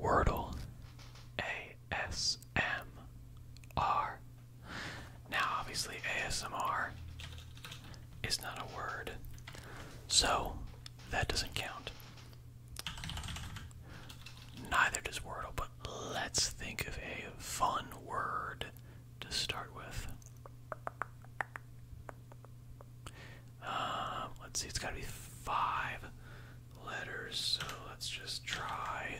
Wordle ASMR. Now, obviously, ASMR is not a word, so that doesn't count. Neither does Wordle, but let's think of a fun word to start with. Um, let's see, it's gotta be five letters, so let's just try.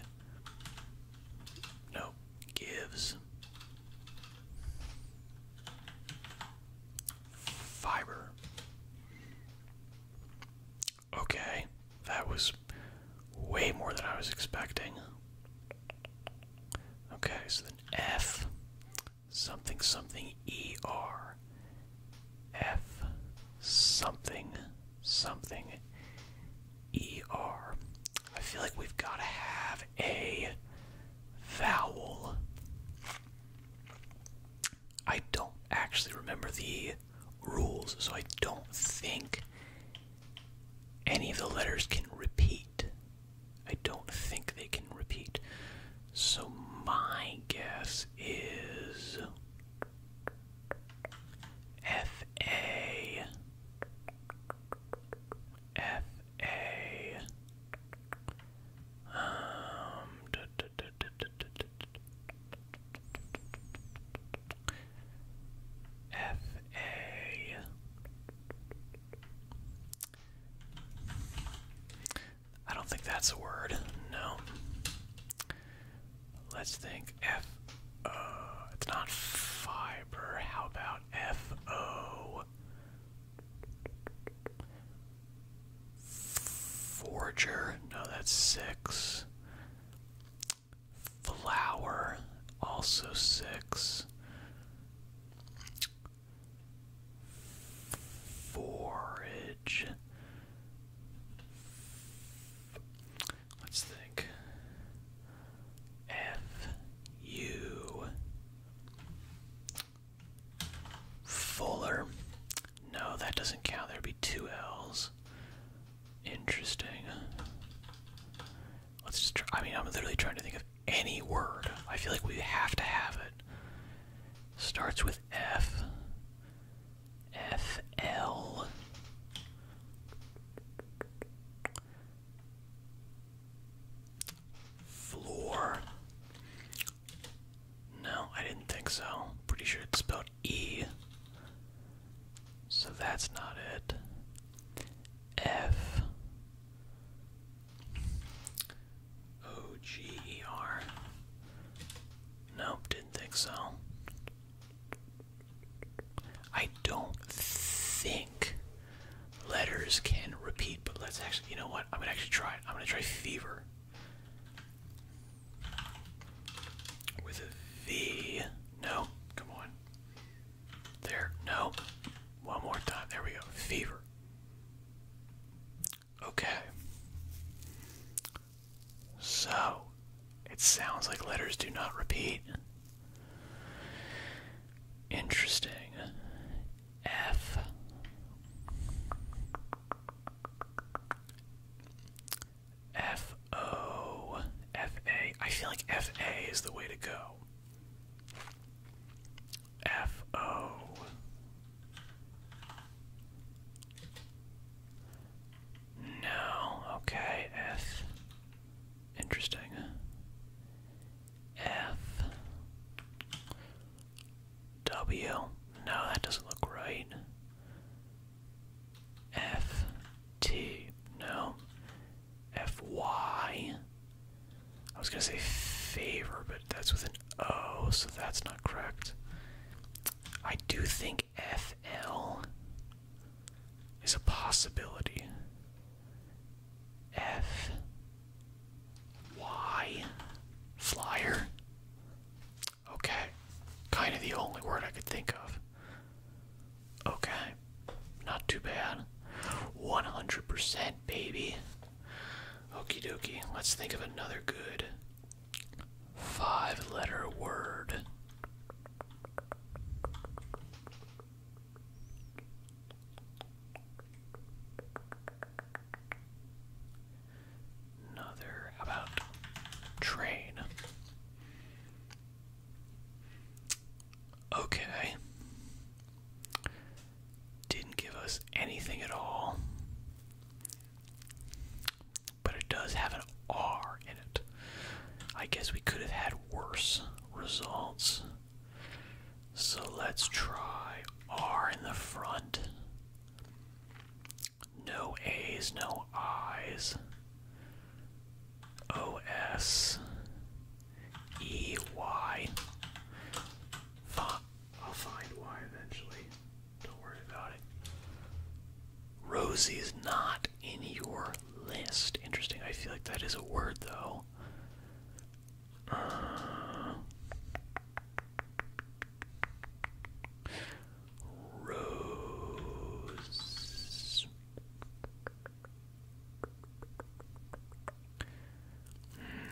No, gives. Fiber. Okay, that was way more than I was expecting. Okay, so then F something something ER F something something E R. I feel like we've got to have a vowel. I don't actually remember the rules, so I don't think any of the letters can repeat. I don't think they can repeat. So my guess is F A F A um F A I don't think that's a word. No. Let's think. F. O. Uh, it's not fiber. How about F O? Forger. No, that's six. Flower. Also six. Forage. Let's think. F U Fuller. No, that doesn't count. There'd be two L's. Interesting. Let's just try. I mean, I'm literally trying to think of any word. I feel like we have to have it. Starts with F. FL Floor. No, I didn't think so. Pretty sure it's spelled E. So that's not it. F. O G E R. Nope, didn't think so. I don't think letters can repeat, but let's actually, you know what? I'm gonna actually try it. I'm gonna try fever. With a V. No, come on. There, no. One more time. There we go. Fever. Okay. So, it sounds like letters do not repeat. Interesting. F. F O F A. I feel like F A is the way to go. F O no. Okay. F. Interesting. F. W. No, that doesn't look right. F. T. No. F. Y. I was going to say favor, but that's with an Oh, so that's not correct. I do think FL is a possibility. F Y flyer. Okay. Kind of the only word I could think of. Okay. Not too bad. 100% baby. Okey dokey. Let's think of another good Five letter word. Another about train. Okay. Didn't give us anything at all. But it does have an R in it. I guess we could have had worse results. So let's try R in the front. No A's, no I's. OS. will find Y eventually. Rosie is not in your list. Interesting. I feel like that is a word, though. Uh, Rose. Hmm.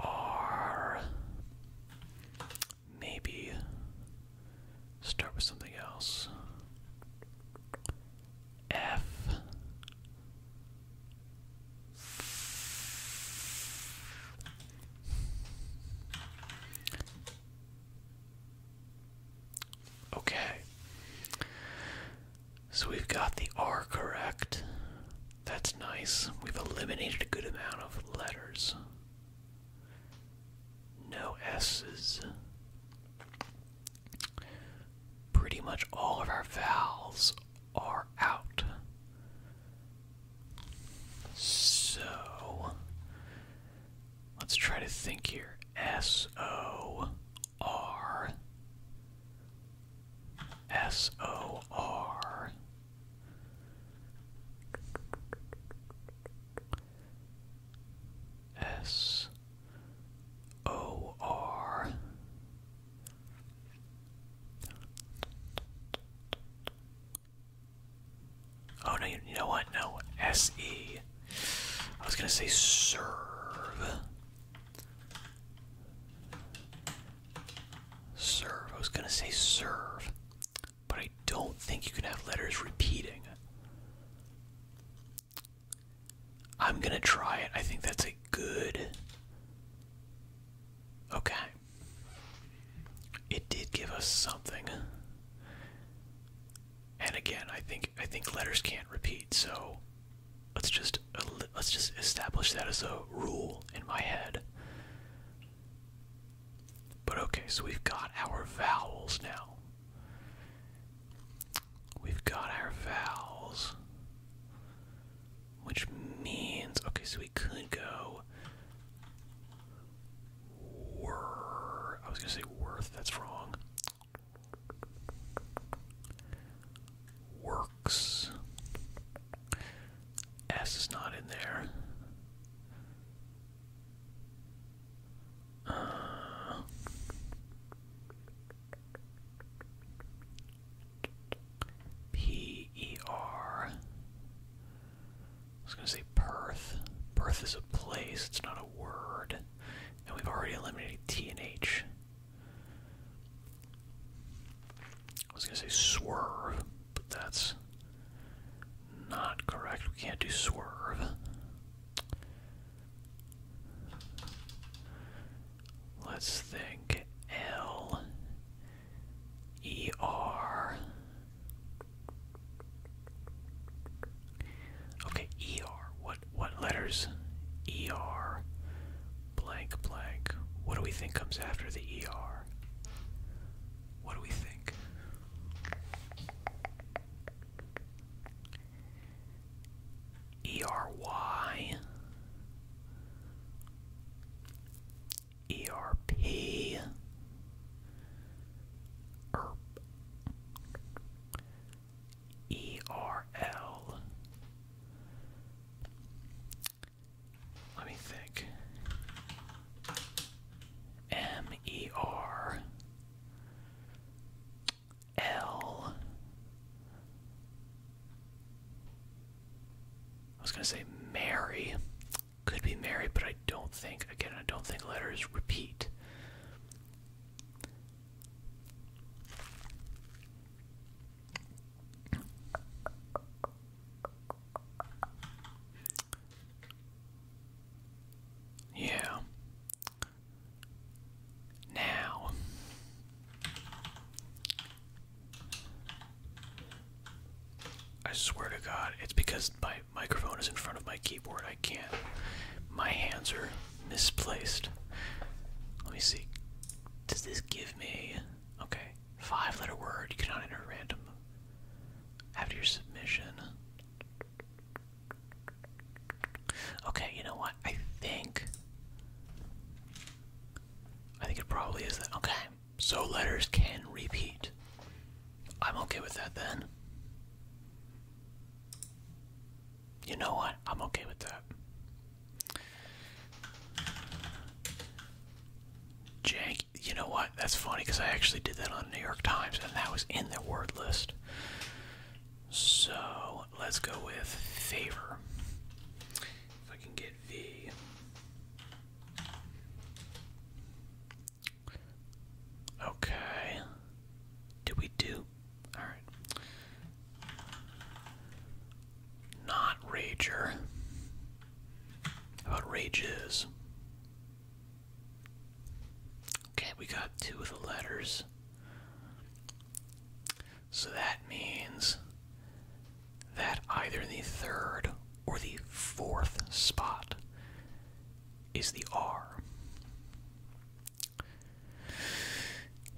Or maybe start with something else. F. Okay. So we've got the R correct. That's nice. We've eliminated a good amount of letters. No S's. Pretty much all of our vowels are out. So, let's try to think here. S O R S O R S O R Oh no, you know what? No, S E I was gonna say serve. Serve. I was gonna say serve. But I don't think you can have letters repeating. I'm gonna try it. I think that's a good. Okay. It did give us something. And again, I think I think letters can't repeat, so let's just let's just establish that as a rule in my head. But okay, so we've got our vowels now. We've got our vowels, which means okay, so we could go were. I was gonna say worth. That's wrong. Works. S is not in there. Uh, P E R. I was going to say Perth. Perth is a place, it's not a word and we've already eliminated T and H. I was gonna say swerve, but that's not correct. We can't do swerve. Let's think L E R Okay, ER. What what letters? ER blank blank. What do we think comes after the ER? What do we think? ERY ERP er, ERL. Let me think. M E R L. I was going to say Mary. Could be Mary, but I don't think, again, I don't think letters repeat. Yeah. Now. I swear to God, it's because my microphone is in front of my keyboard. I can't. My hands are misplaced. Let me see. Does this give me. Okay. Five letter word. You cannot enter random. After your submission. Okay, you know what? I think. I think it probably is that. Okay. So letters can repeat. I'm okay with that then. You know what? I'm okay with that. Jank, you know what? That's funny because I actually did that on the New York Times and that was in their word list. So let's go with favor. If I can get V. Okay. Did we do? Alright. Not Rager. about Rages? Okay, we got two of the letters. So that means that either the third or the fourth spot is the R.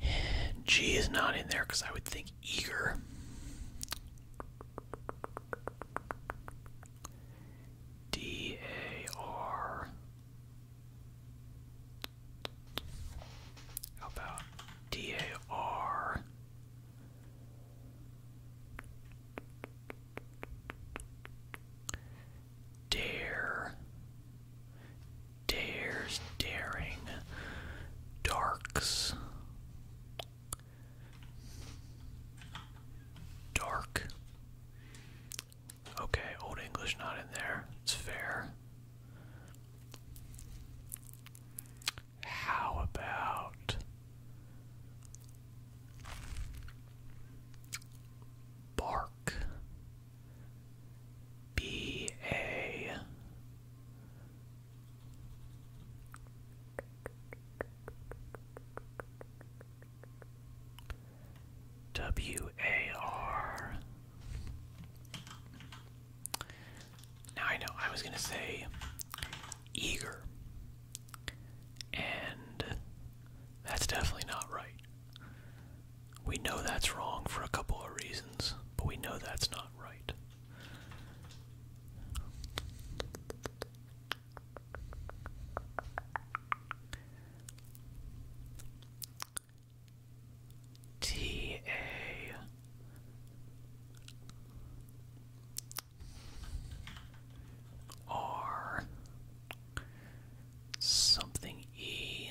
G is not in there because I would think eager. D A R. How about D A R? Dare. Dares, daring. Darks. Dark. Okay, Old English not in there. It's fair. How about Bark. B A. W A R. Now I know I was going to say eager and that's definitely not right. We know that's wrong for a couple of reasons, but we know that's not right. T A R Something E.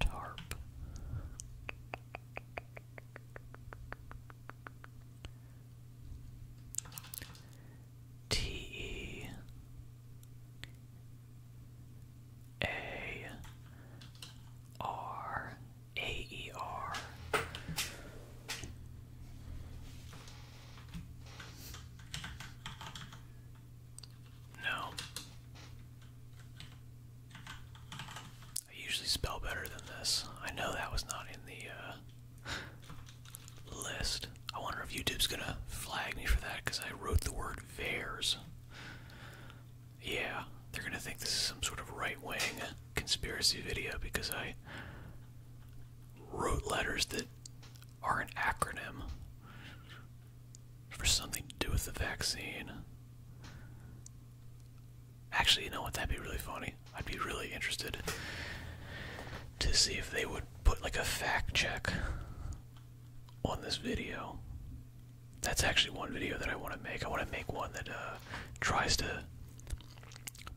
Tarp. T E A R AER. No. I usually spell better than this. I know that was not in the uh, list. I wonder if YouTube's gonna flag me for that because I wrote the word VARES. Yeah, they're gonna think this is some sort of right wing conspiracy video because I wrote letters that are an acronym for something to do with the vaccine. Actually, you know what? That'd be really funny. I'd be really interested to see if they would put like a fact check on this video. That's actually one video that I want to make. I want to make one that uh, tries to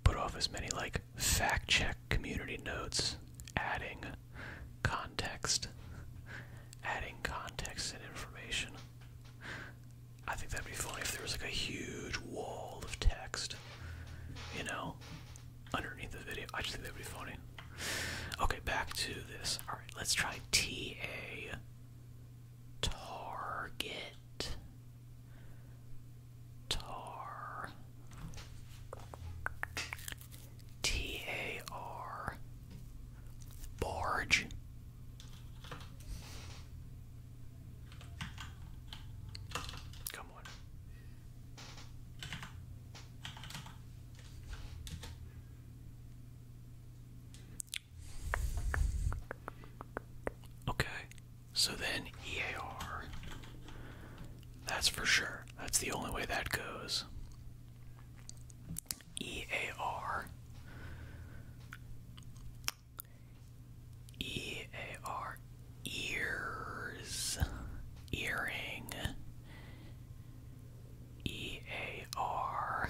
put off as many like fact check community notes, adding context, adding context and information. I think that'd be funny if there was like a huge wall of text, you know, underneath the video. I just think that'd be funny. Okay, back to this. All right, let's try TA target. Tar. T A R. Barge. Come on. Okay, so then EAR. That's for sure. That's the only way that goes. EAR. EAR. Ears. Earring. EAR.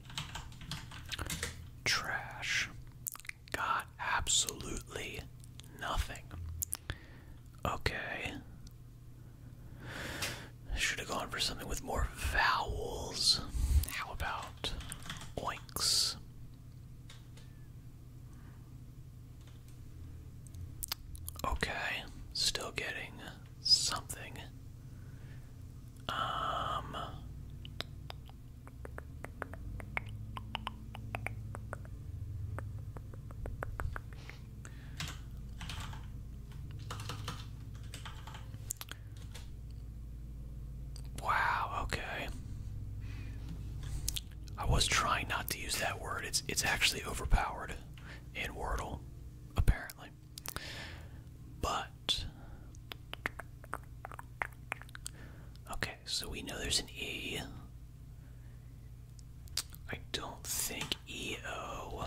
Trash. Got absolutely nothing. Okay. Should have gone for something with more vowels. How about oinks? Okay, still getting something. Um, wow, okay. I was trying not to use that word. It's it's actually overpowered in Wordle, apparently. But okay, so we know there's an E. I don't think EO.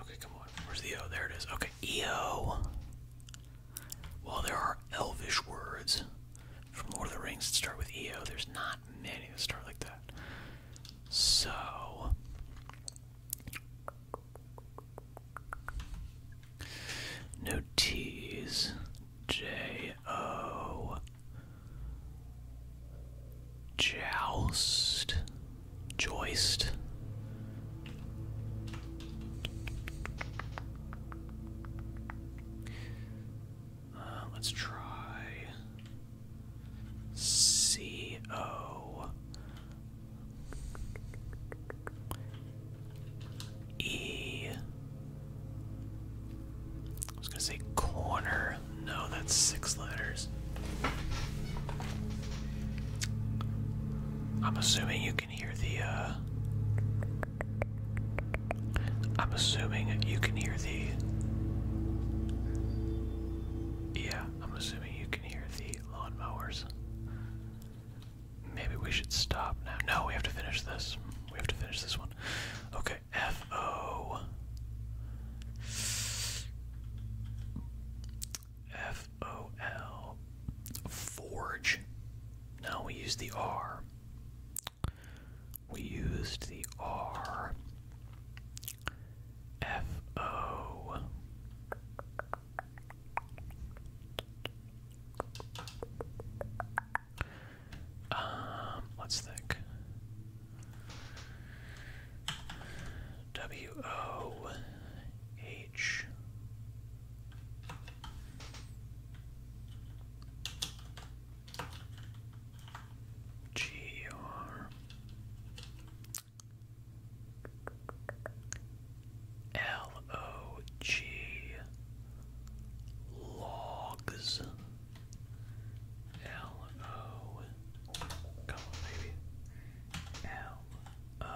Okay, come on. Where's the O? There it is. Okay, EO. While there are elvish words from Lord of the Rings that start with EO, there's not many that start like that. So, no tease, J O. Joust. Joist. Uh, let's try C O E. I was gonna say corner. No, that's six letters. I'm assuming you can hear the, uh, I'm assuming you can hear the. Yeah, I'm assuming you can hear the lawnmowers. Maybe we should stop now. No, we have to finish this. We have to finish this one. Okay, F O. F O L. Forge. Now we use the R. We used the R. F O. Um, let's think. W O H. G R L O G logs. L O. Come on, baby. L O.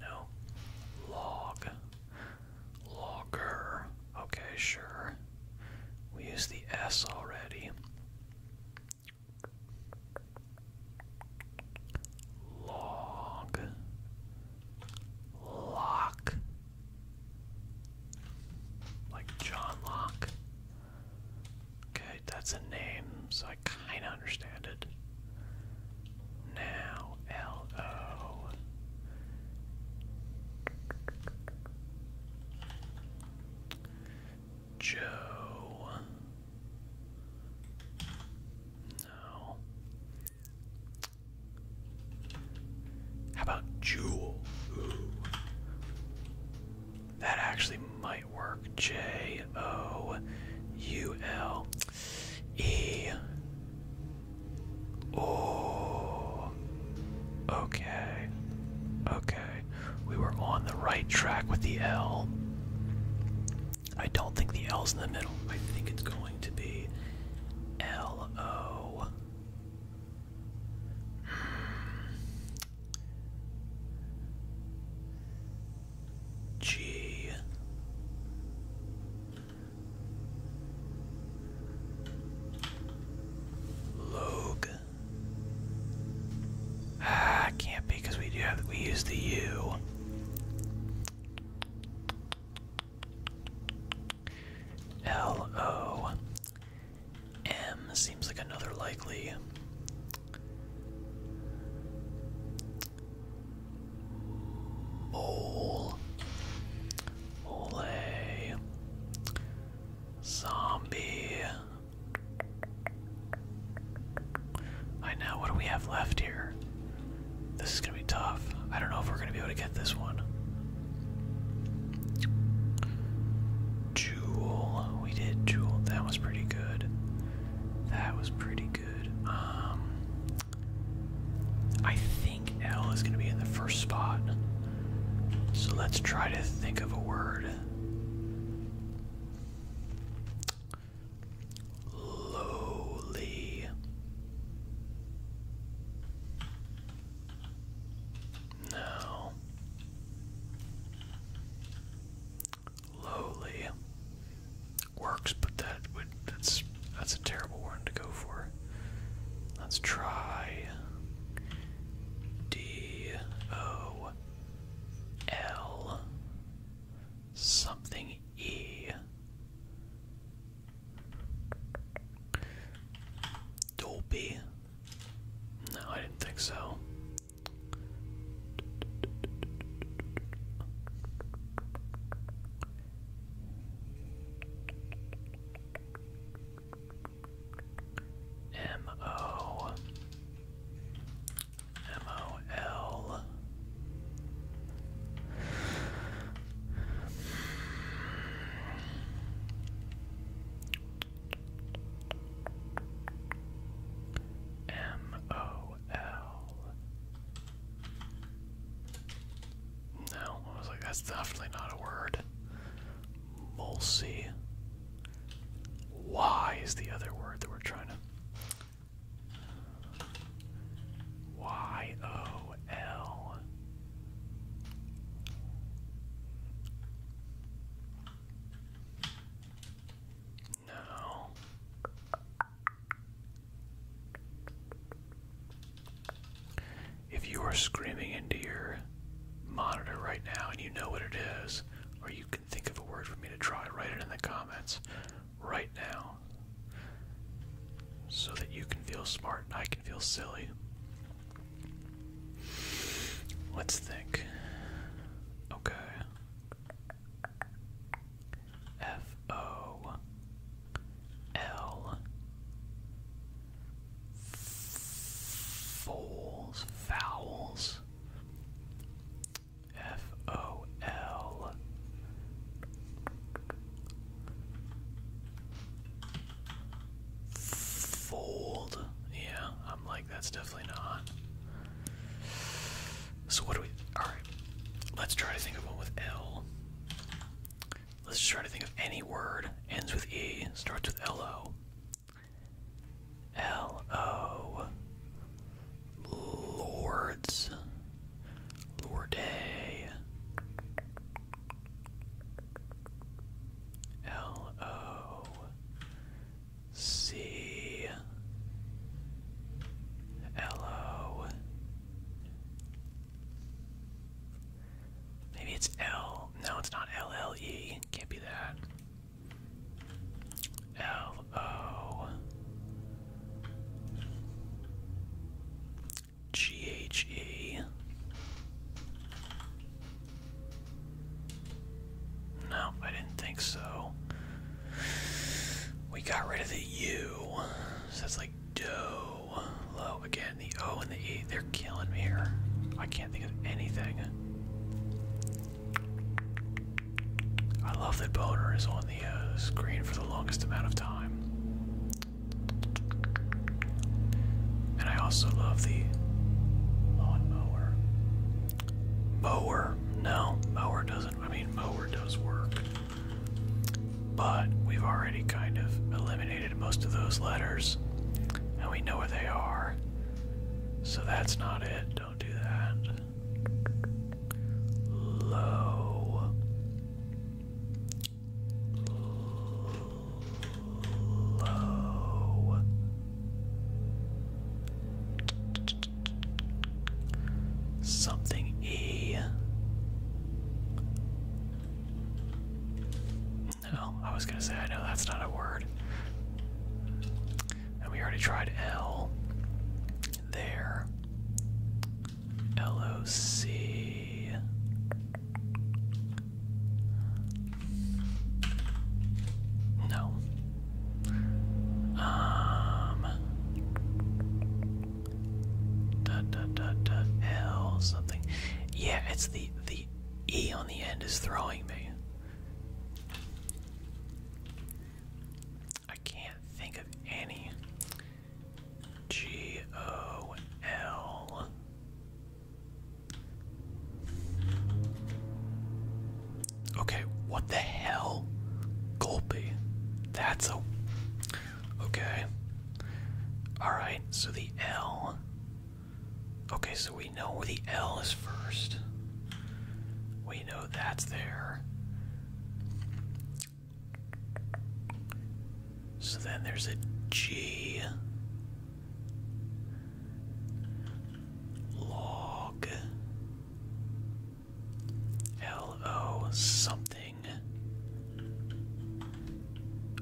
No. Log. Logger. Okay, sure. We use the S already. Log. Lock. Like John Locke. Okay, that's a name, so I kind of understand it. Now L O. Joe. No. How about Jewel? That actually might work. J O U L. E. Okay. Okay. We were on the right track with the L. I don't think the L's in the middle. I think it's going to be L O. Hmm. G. Log. Ah, can't be because we do have we use the U. L O M seems like another likely Ole. Ole. Zombie. I know, what do we have left here? This is gonna be tough. I don't know if we're gonna be able to get this one. Jewel. We did Jewel. That was pretty good. That was pretty um, I think L is going to be in the first spot. So let's try to think of a word. Lowly. No. Slowly works, but that would that's that's a terrible one to go for. Let's try D O L something E Dolby. No, I didn't think so. M O M O L M O L no, I was like, that's definitely not a word. Mulsey. Why is the other word that we're trying to. Y O L. No. If you are screaming into your monitor right now and you know what it is, or you can think of a word for me to try, write it in the comments right now so that you can feel smart and I can feel silly. Let's think. Okay. F O L Fouls, Fouls, F O L Fold. Yeah, I'm like, that's definitely not. So what do we? All right, let's try to think of one with L. Let's try to think of any word ends with E, starts with L O. L O. Lords. Lorde. L O. C L O. Maybe it's L. No, it's not L L E. Can't be that. L O G H E. No, I didn't think so. We got rid of the U. So it's like do Low. Again, the O and the E. They're killing me here. I can't think of anything. I love that Boner is on the uh, screen for the longest amount of time. And I also love the lawnmower. Mower. No, mower doesn't I mean, mower does work. But we've already kind of eliminated most of those letters, and we know where they are. So that's not it. Don't do that. Low. Low. Something E. No, I was gonna say I know that's not a word. And we already tried L there. L O C. No, um, da, something. Yeah, it's the the E on the end is throwing me. I can't think of any. G O L. Okay, what the hell? Golpe. That's a. Okay. Alright, so the L. Okay, so we know where the L is first. We know that's there. So then there's a G. Log. L O something.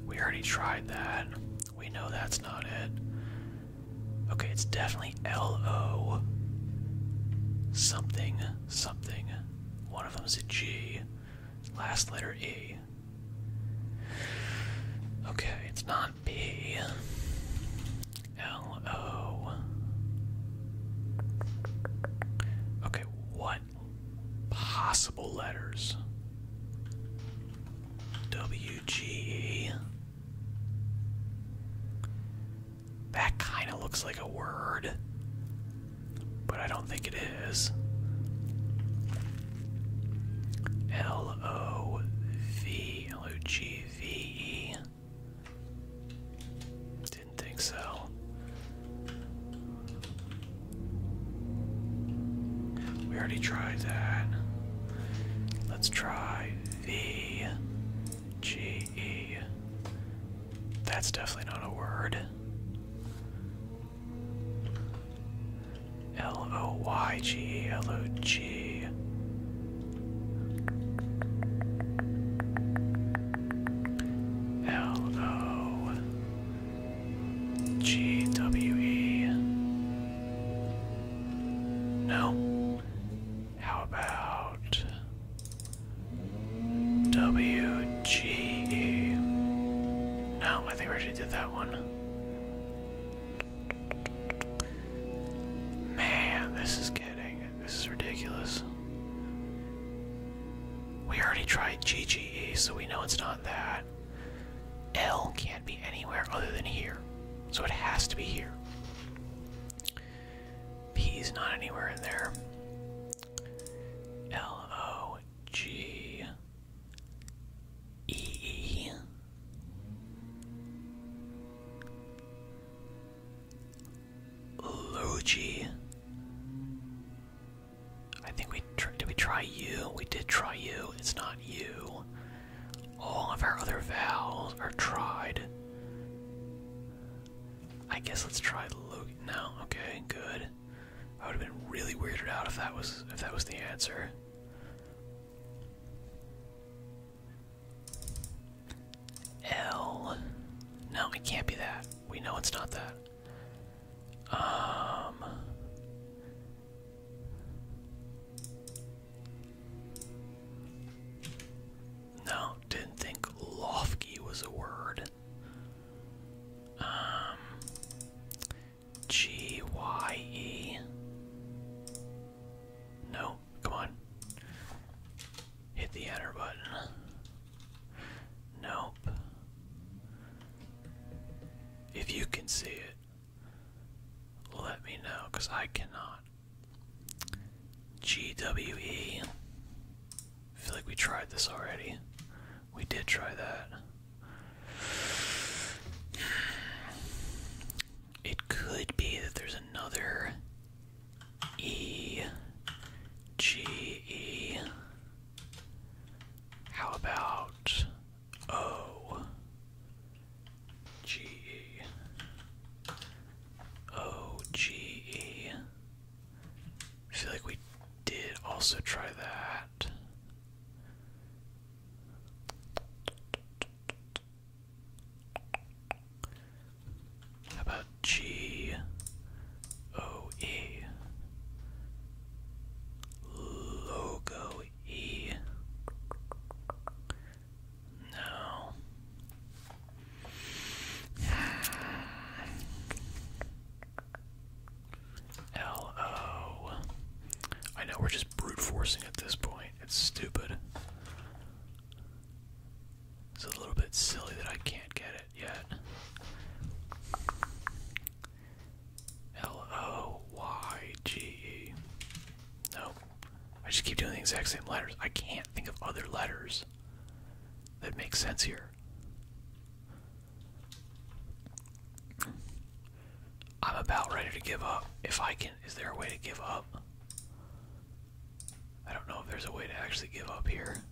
We already tried that. We know that's not it. Okay, it's definitely L O something something. One of them is a G. Last letter E. Okay, it's not B. L O. Okay, what possible letters? W G. That kind of looks like a word, but I don't think it is. L O V L O G V E. Didn't think so. We already tried that. Let's try V G E. That's definitely not a word. L O Y G L O G. L O G W E. No. How about W G E? No, I think we already did that one. Man, this is getting this is ridiculous. We already tried GGE, so we know it's not that. L can't be anywhere other than here, so it has to be here. P is not anywhere in there. L O G E E. Luigi. I think we tr did we try you? We did try you. It's not you. All of our other vowels are tried. I guess let's try Luke. now. okay, good. I would have been really weirded out if that was if that was the answer. L. No, it can't be that. We know it's not that. Um. No, didn't think lofty was a word. Um. G Y E. No, Come on. Hit the enter button. Nope. If you can see it, let me know because I cannot. GWE. feel like we tried this already. We did try that. It could be that there's another E G E. How about O G E? O G E. I feel like we did also try that. How about G O E? Logo E. No. L O. I know we're just brute forcing at this point. It's stupid. It's a little bit silly that I can't get it yet. L O Y G E. Nope. I just keep doing the exact same letters. I can't think of other letters that make sense here. I'm about ready to give up if I can is there a way to give up? I don't know if there's a way to actually give up here.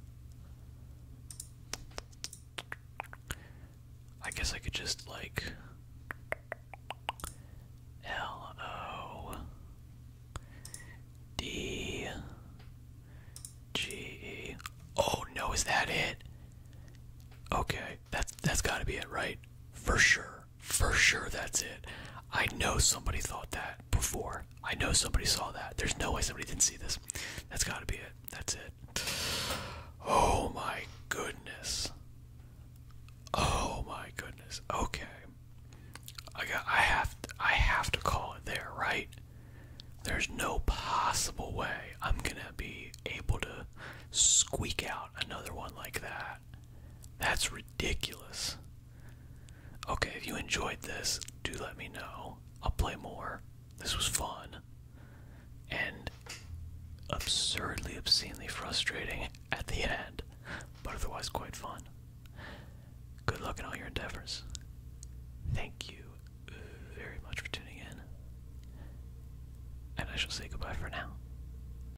I guess I could just like L O D G. Oh no, is that it? Okay, that's that's gotta be it, right? For sure for sure that's it. I know somebody thought that before. I know somebody saw that. There's no way somebody didn't see this. That's gotta be it. That's it. Oh my goodness. Oh my goodness. Okay. I got I have I have to call it there, right? There's no possible way I'm gonna be able to squeak out another one like that. That's ridiculous. Okay, if you enjoyed this, do let me know. I'll play more. This was fun. And absurdly, obscenely frustrating at the end, but otherwise quite fun. Good luck in all your endeavors. Thank you very much for tuning in. And I shall say goodbye for now.